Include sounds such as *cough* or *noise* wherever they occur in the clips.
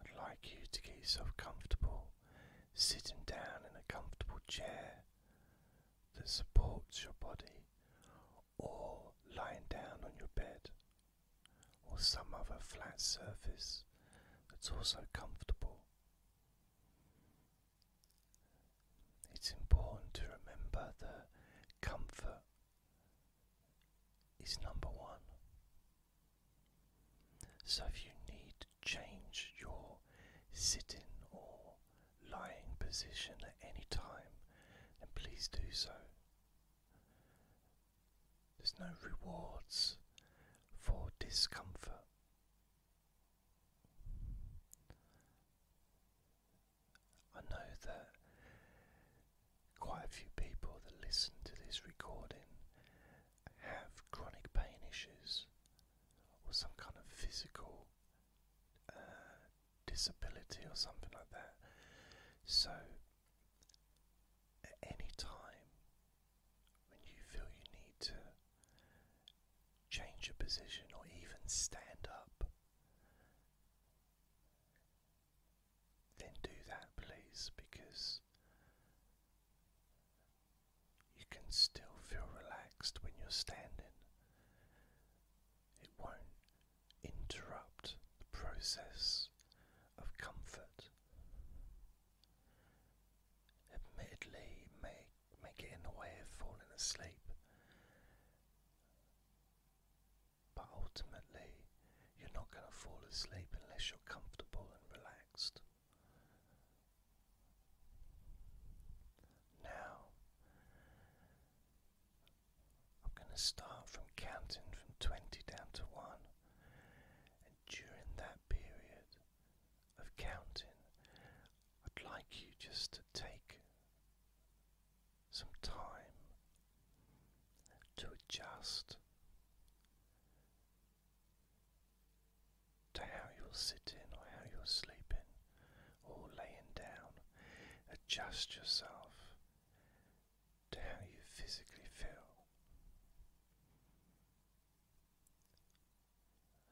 I'd like you to get yourself comfortable, sitting down in a comfortable chair that supports your body, or lying down on your bed, or some other flat surface that's also comfortable. It's important to remember that comfort is number one. So if you need to change your sitting or lying position at any time, then please do so. There's no rewards for discomfort. I know that quite a few people that listen to this recording have chronic pain issues or some kind of physical uh, disability or something like that. So, at any time when you feel you need to change your position or even stand up, then do that, please, because you can still feel relaxed when you're standing. It won't interrupt the process of comfort. Admittedly, it may, may get in the way of falling asleep, but ultimately, you're not going to fall asleep unless you're comfortable and relaxed. Now, I'm going to start from counting from 20 down to 1, and during that period of counting, I'd like you just to take some time to adjust to how you're sitting or how you're sleeping or laying down. Adjust yourself to how you physically feel.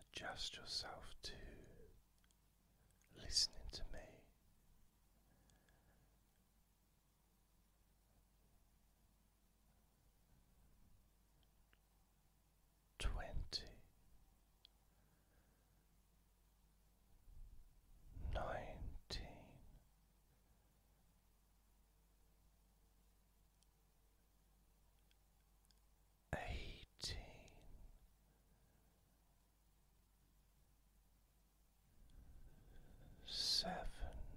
Adjust yourself to listening to me twenty nineteen eighteen seventeen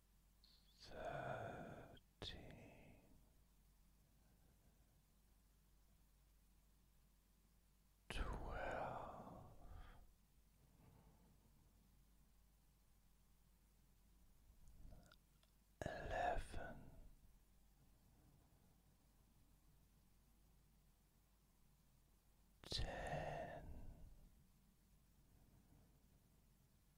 thirteen. Twelve, eleven, ten,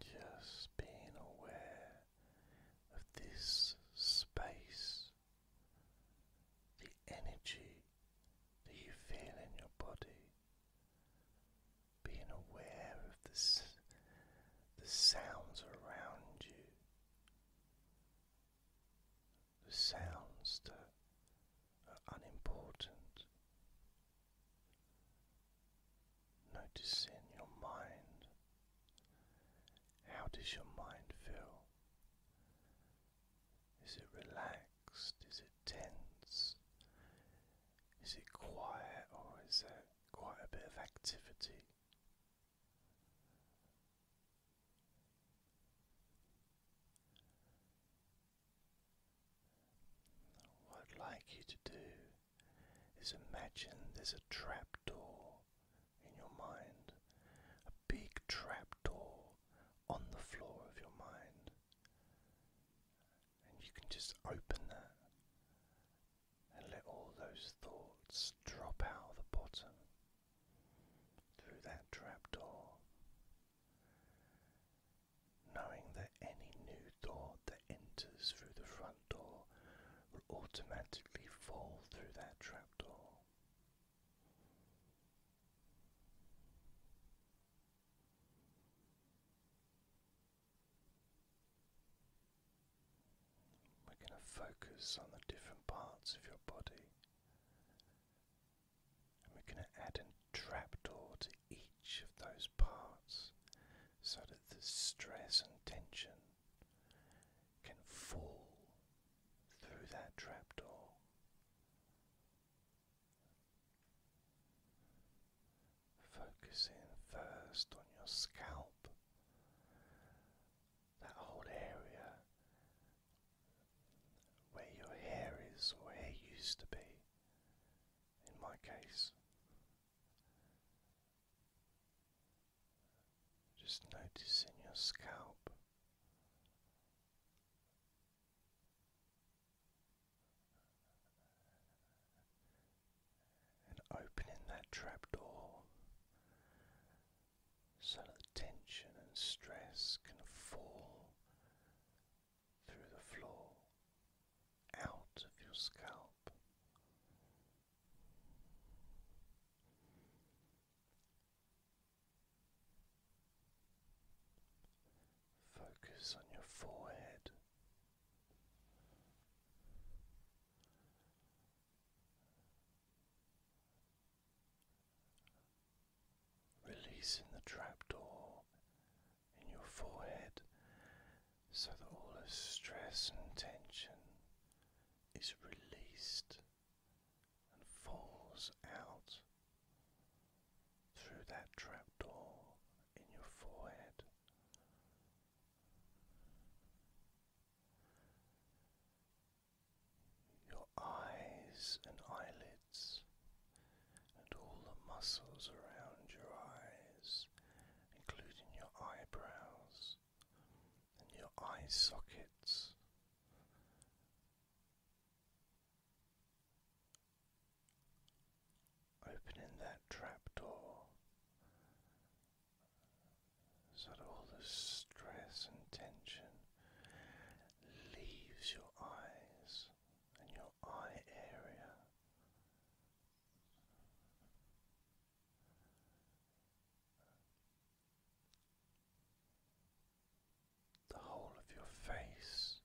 Just being aware of this space, the energy that you feel in your body, being aware of this, the sounds around you, the sounds that are unimportant. Noticing your mind. How does your mind feel? Is it relaxed? Is it tense? Is it quiet or is there quite a bit of activity? What I'd like you to do is imagine there's a trapdoor in your mind, a big trapdoor on the floor of your mind, and you can just open that and let all those thoughts drop out the bottom through that trapdoor knowing that any new thought that enters through the front door will automatically fall through that trapdoor. We're going to focus on the different parts of your body we're going to add a trapdoor to each of those parts so that the stress and tension can fall through that trapdoor. Focusing first on your scalp, that whole area where your hair is or hair used to be in my case. Just noticing your scalp. And opening that trapdoor so that tension and stress can fall through the floor, out of your scalp. Focus on your forehead releasing the trapdoor in your forehead so that all the stress and tension is released and falls out through that trapdoor in your forehead. Your eyes and eyelids and all the muscles around your eyes, including your eyebrows and your eye sockets. Opening that trapdoor so that all the stress and tension leaves your eyes and your eye area. The whole of your face,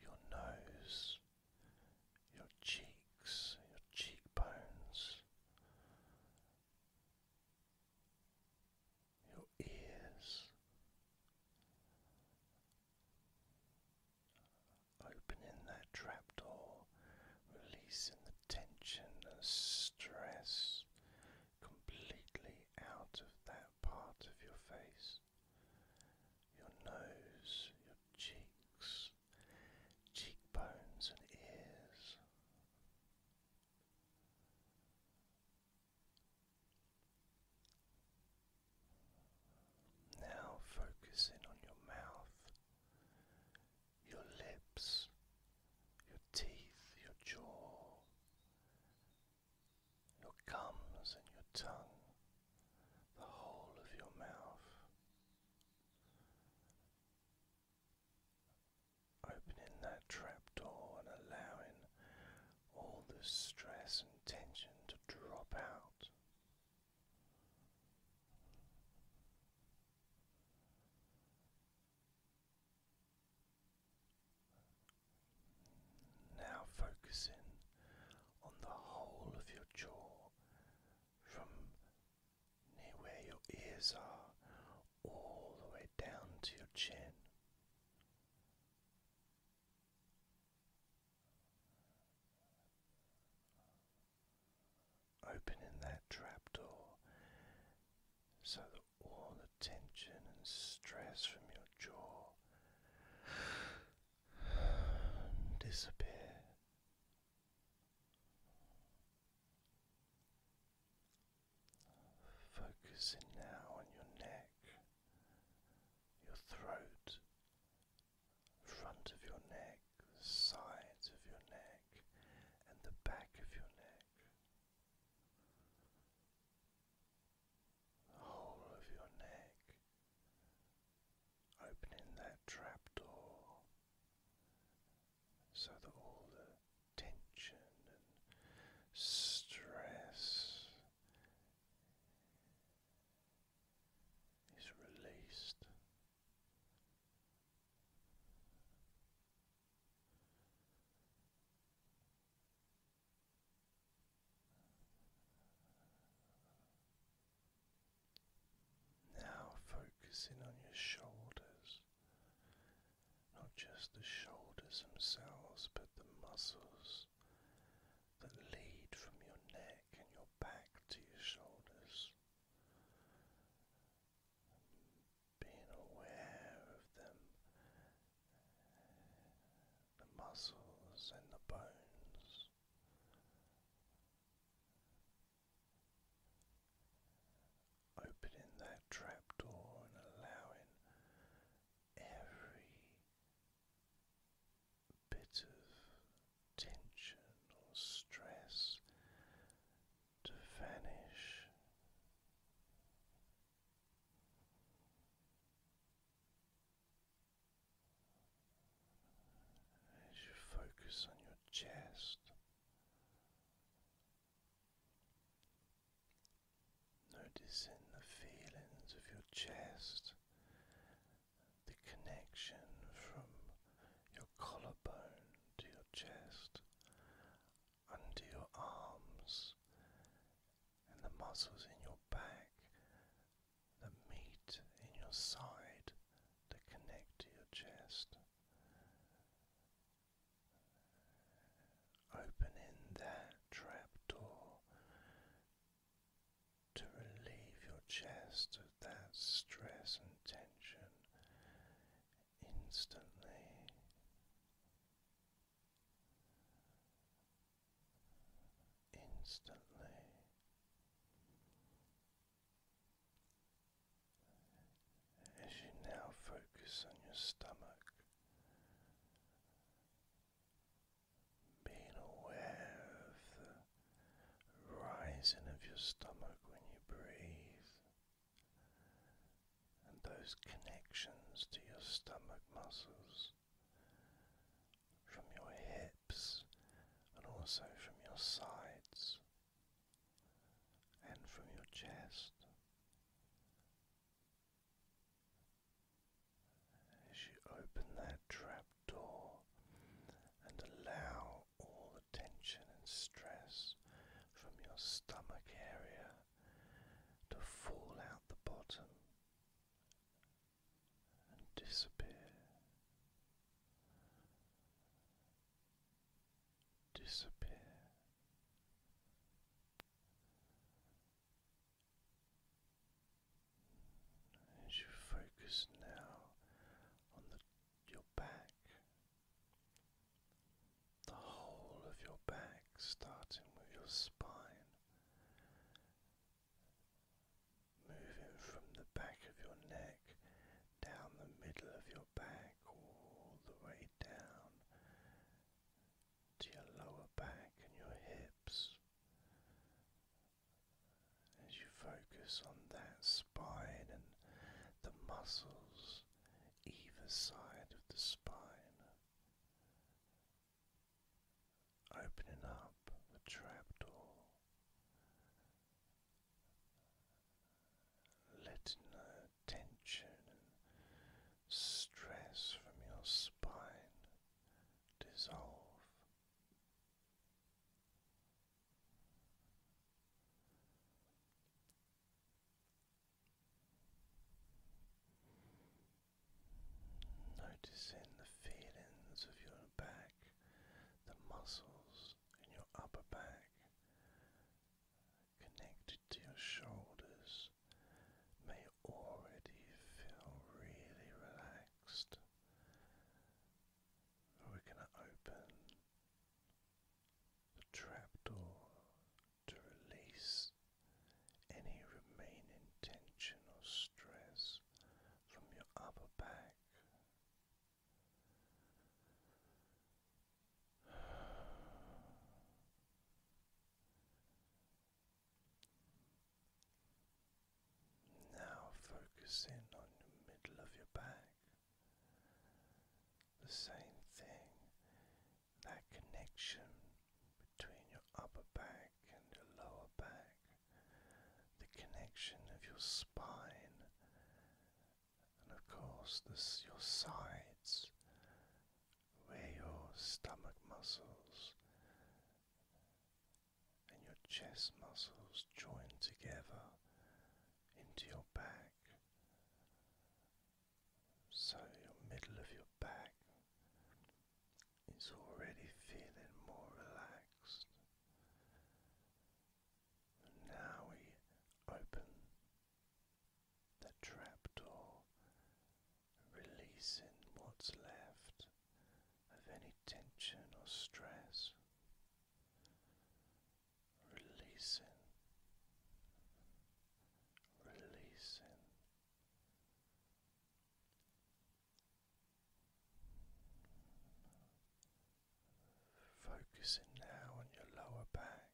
your nose, your cheeks, your cheekbones, your ears, Opening that trapdoor, releasing the tension and stress completely out of that part of your face, your nose, your cheeks, cheekbones, and ears. Now focusing on your mouth, your lips, your teeth, your jaw, your gums, and your tongue, the whole of your mouth. Opening that trapdoor and allowing all the stress and tension to drop out. Now focusing on the whole of your jaw from near where your ears are all the way down to your chin. Opening that trapdoor so that all the tension and stress from your jaw *sighs* disappear. Focusing now on your neck your throat, front of your neck, sides of your neck, and the back of your neck, the whole of your neck, opening that trapdoor so that all the tension and stress is released. Now focusing on your shoulders, not just the shoulders themselves, but the muscles that lead from your neck and your back to your shoulders. Being aware of them, the muscles and the bones. Opening that trapdoor and allowing every bit tension or stress to vanish. As you focus on your chest, Noticing the feelings of your chest, the connection from your collarbone to your chest, under your arms, and the muscles in your back the meet in your side that connect to your chest opening that trapdoor to relieve your chest of that stress and tension instantly. Instantly. As you now focus on your stomach, being aware of the rising of your stomach when you breathe, and those connections to your stomach muscles from your hips and also from your sides and from your chest. As you open that trap door and allow all the tension and stress from your stomach area to fall out the bottom and disappear, disappear. As you focus now on the, your back, the whole of your back, starting with your spine, moving from the back of your neck down the middle of your back, all the way down to your lower back and your hips as you focus on that spine and the muscles either side of the spine, opening up the trapdoor, letting the tension stress from your spine dissolve. Noticing the feelings of your back, the muscles in your upper back connected to your shoulders may already feel really relaxed. We're going to open the trapdoor to release any remaining tension or stress from your upper back. Now focus in on the middle of your back, the same thing, that connection between your upper back and your lower back, the connection of your spine, and of course, this, your sides where your stomach muscles and your chest muscles join together into your back. So, your middle of your back is already feeling more relaxed. now we open the trapdoor, releasing what's left of any tension or stress, releasing, releasing. Focusing now on your lower back,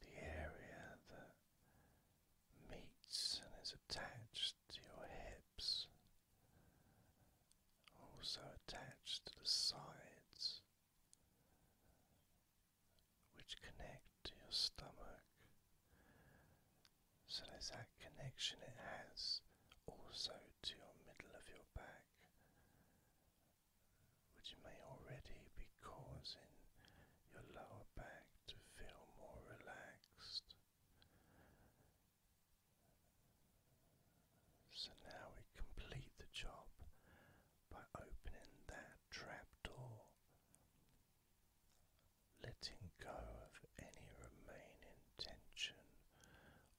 the area that meets and is attached to your hips, also attached to the sides, which connect to your stomach. So there's that connection it has also to your middle of your back which may already be causing your lower back to feel more relaxed. So now we complete the job by opening that trapdoor, letting go of any remaining tension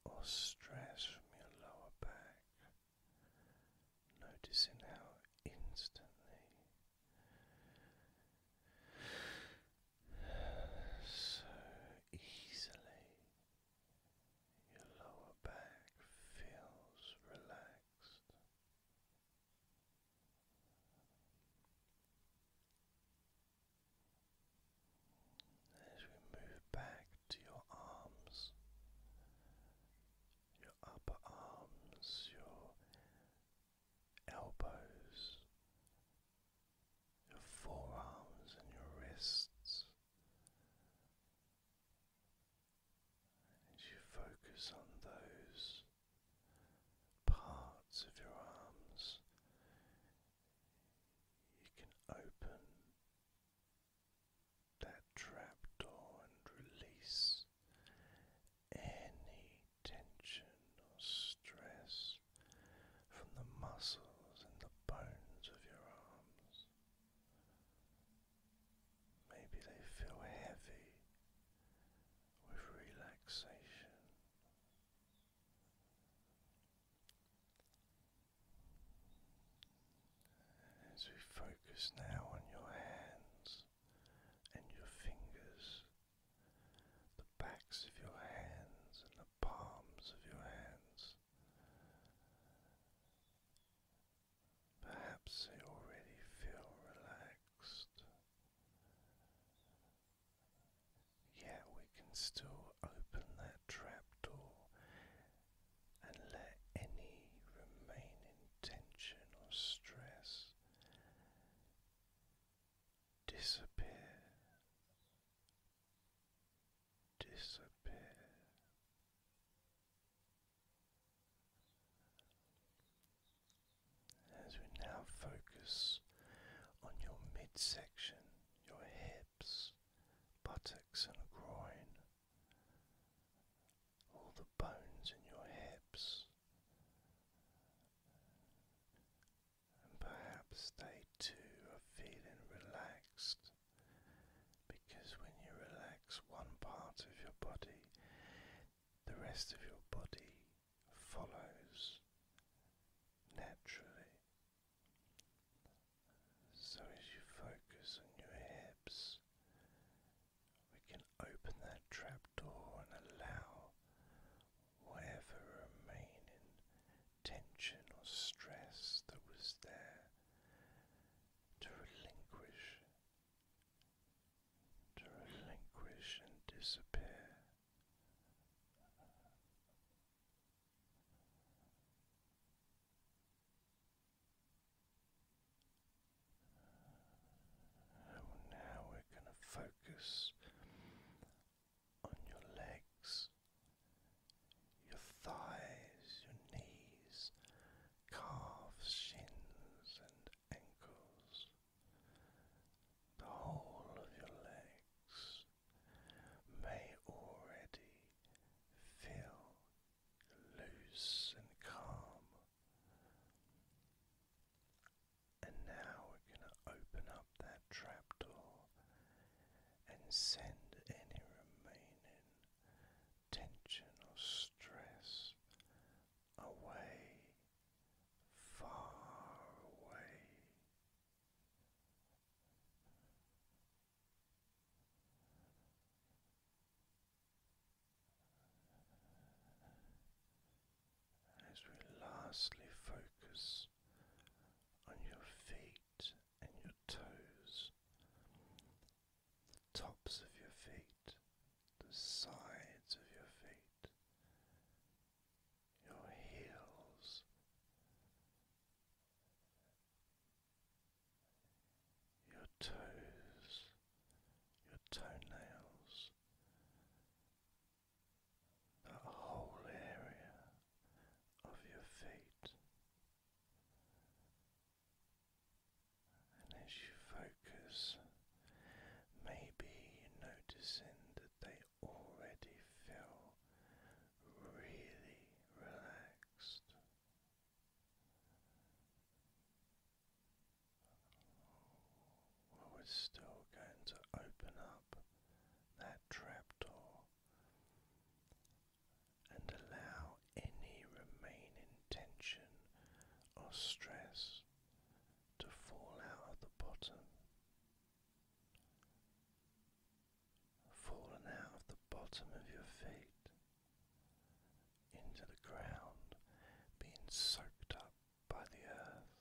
or stress from your lower back noticing how instantly so easily your lower back feels relaxed. As we move back to your arms your upper arms, your elbows, your forearms, and your wrists. As you focus on those parts of your arms, you can open that trapdoor and release any tension or stress from the muscles and the bones of your arms. Maybe they feel heavy with relaxation. As we focus now on your hands and your fingers, the backs of your hands and the palms of your hands. Perhaps they already feel relaxed. Yet we can still open that trapdoor and let any remaining tension or stress disappear, disappear. As we now focus on your midsection, your hips, buttocks, and groin all the bones in your hips, and perhaps they too are feeling relaxed because when you relax one part of your body, the rest of your body follows naturally. So, as you focus on your hips, we can open that trapdoor and allow whatever remaining tension or stress that was there to relinquish, to relinquish and disappear now we're going to focus on your legs, your thighs, your knees, calves, shins, and ankles, the whole of your legs. May already feel loose and calm. And now we're going to open up that trapdoor and send any remaining tension or stress away, far away. As we lastly focus on your feet and your toes, the tops of your feet, the sides of your feet, your heels, your toes, your toenails, that whole area of your feet. And as you focus, maybe noticing that they already feel really relaxed we're still going to open up that trap door and allow any remaining tension or stress to fall out of the bottom. Fallen out of the bottom of your feet into the ground, being soaked up by the earth.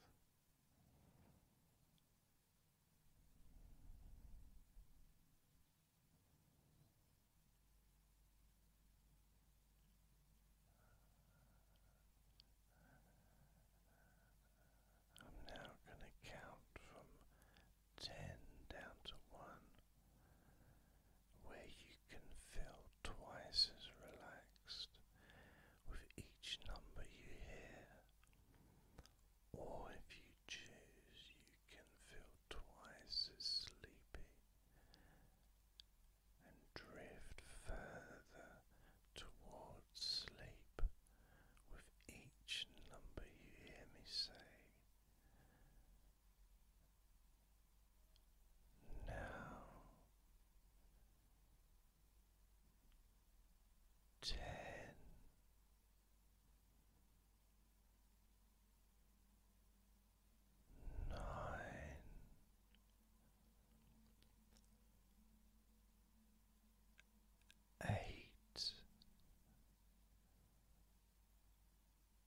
I'm now going to count from ten down to one, where you can feel twice as relaxed with each number you hear. Or if you choose, you can feel twice as sleepy and drift further towards sleep with each number you hear me say. Now ten. Nine, eight,